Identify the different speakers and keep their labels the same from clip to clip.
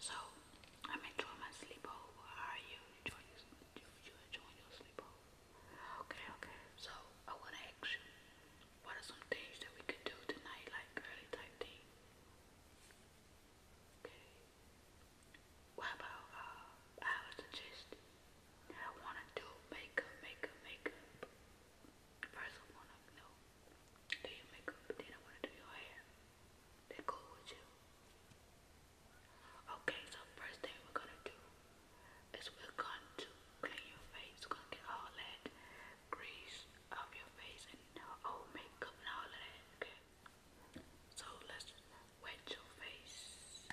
Speaker 1: So I'm enjoying my sleepover. are you enjoying your sleepover? Okay, okay. So I wanna ask you, what are some things that we could do tonight, like girly type thing? Okay. What about uh, I would suggest I wanna do makeup, makeup, makeup. First I wanna do you. Okay, so first thing we're gonna do is we're going to clean your face. get all that grease off your face and all makeup and all that. Okay. So let's wet your face.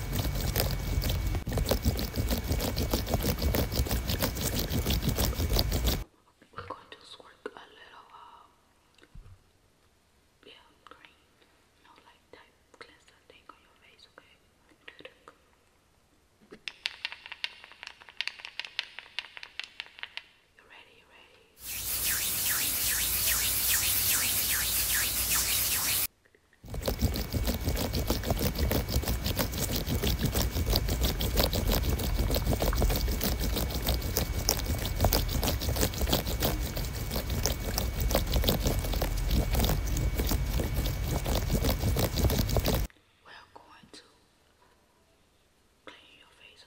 Speaker 1: We're going to squirt a little, yeah, green, you like type cleanser thing on your face, okay? You ready? You ready? We're going to clean your face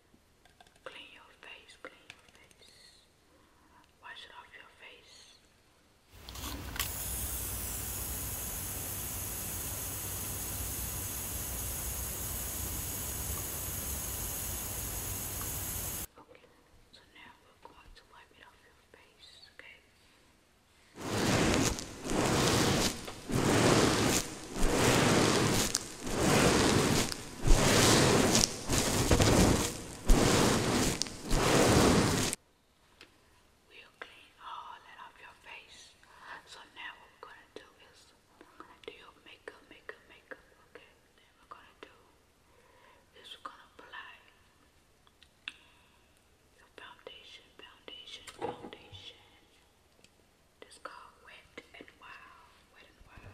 Speaker 1: Clean your face, clean your face. Wash it off your face. Okay, so now we're going to wipe it off your face, okay? We'll clean all that off your face. So now we're gonna do is do your makeup, makeup, makeup, okay? Then we're gonna do is we're gonna apply your foundation, foundation, foundation. It's called Wet and Wild. Wet and Wild.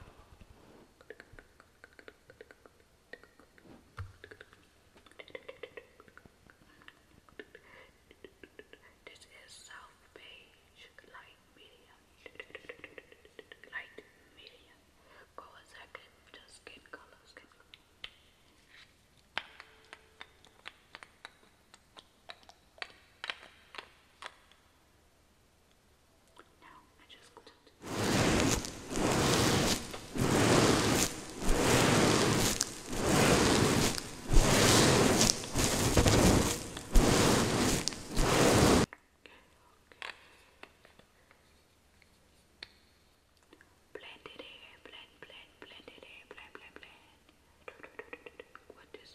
Speaker 1: This is South Beige, light medium, light medium. Go a second, just skin color, skin color. Now I just Blend it in, blend, blend, blend it in, blend, blend, blend. What is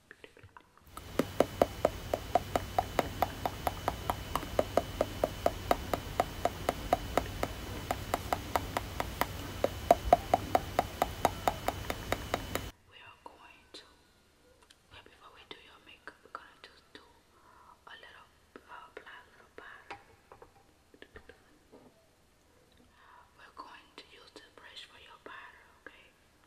Speaker 1: We are going to, before we do your makeup, we're gonna just do a little, apply a little powder. We're going to use the brush for your powder, okay?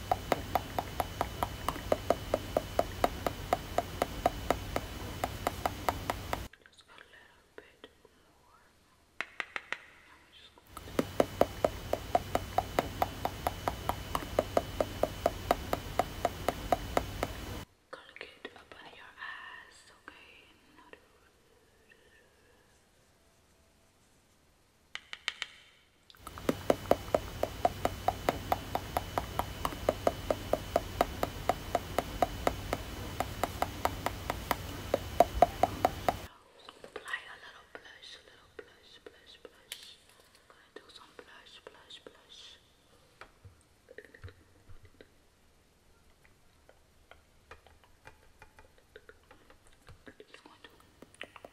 Speaker 1: Just a little bit more. I'm just gonna get up under your eyes, okay? Apply a little blush, a little blush, blush, blush. I'm gonna do some blush, blush, blush. I'm just going to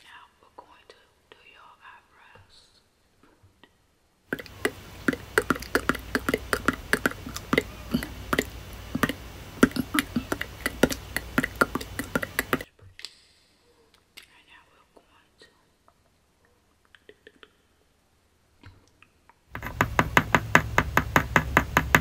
Speaker 1: Now we're going to do your eyebrows. And now we're going to now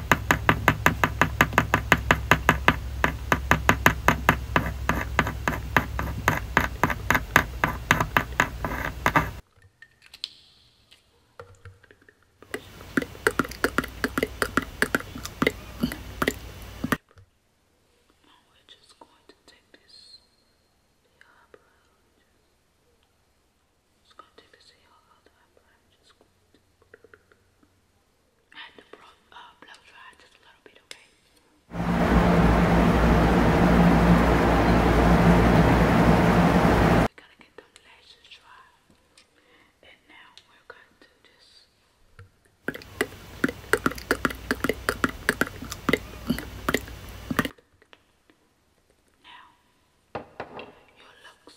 Speaker 1: we're just going to take this eyebrow. Just, just going to take this eyebrow. I'm just going to. I had to blow, dry just a little bit, okay? We gotta get those lashes dry. And now we're going to just now, you look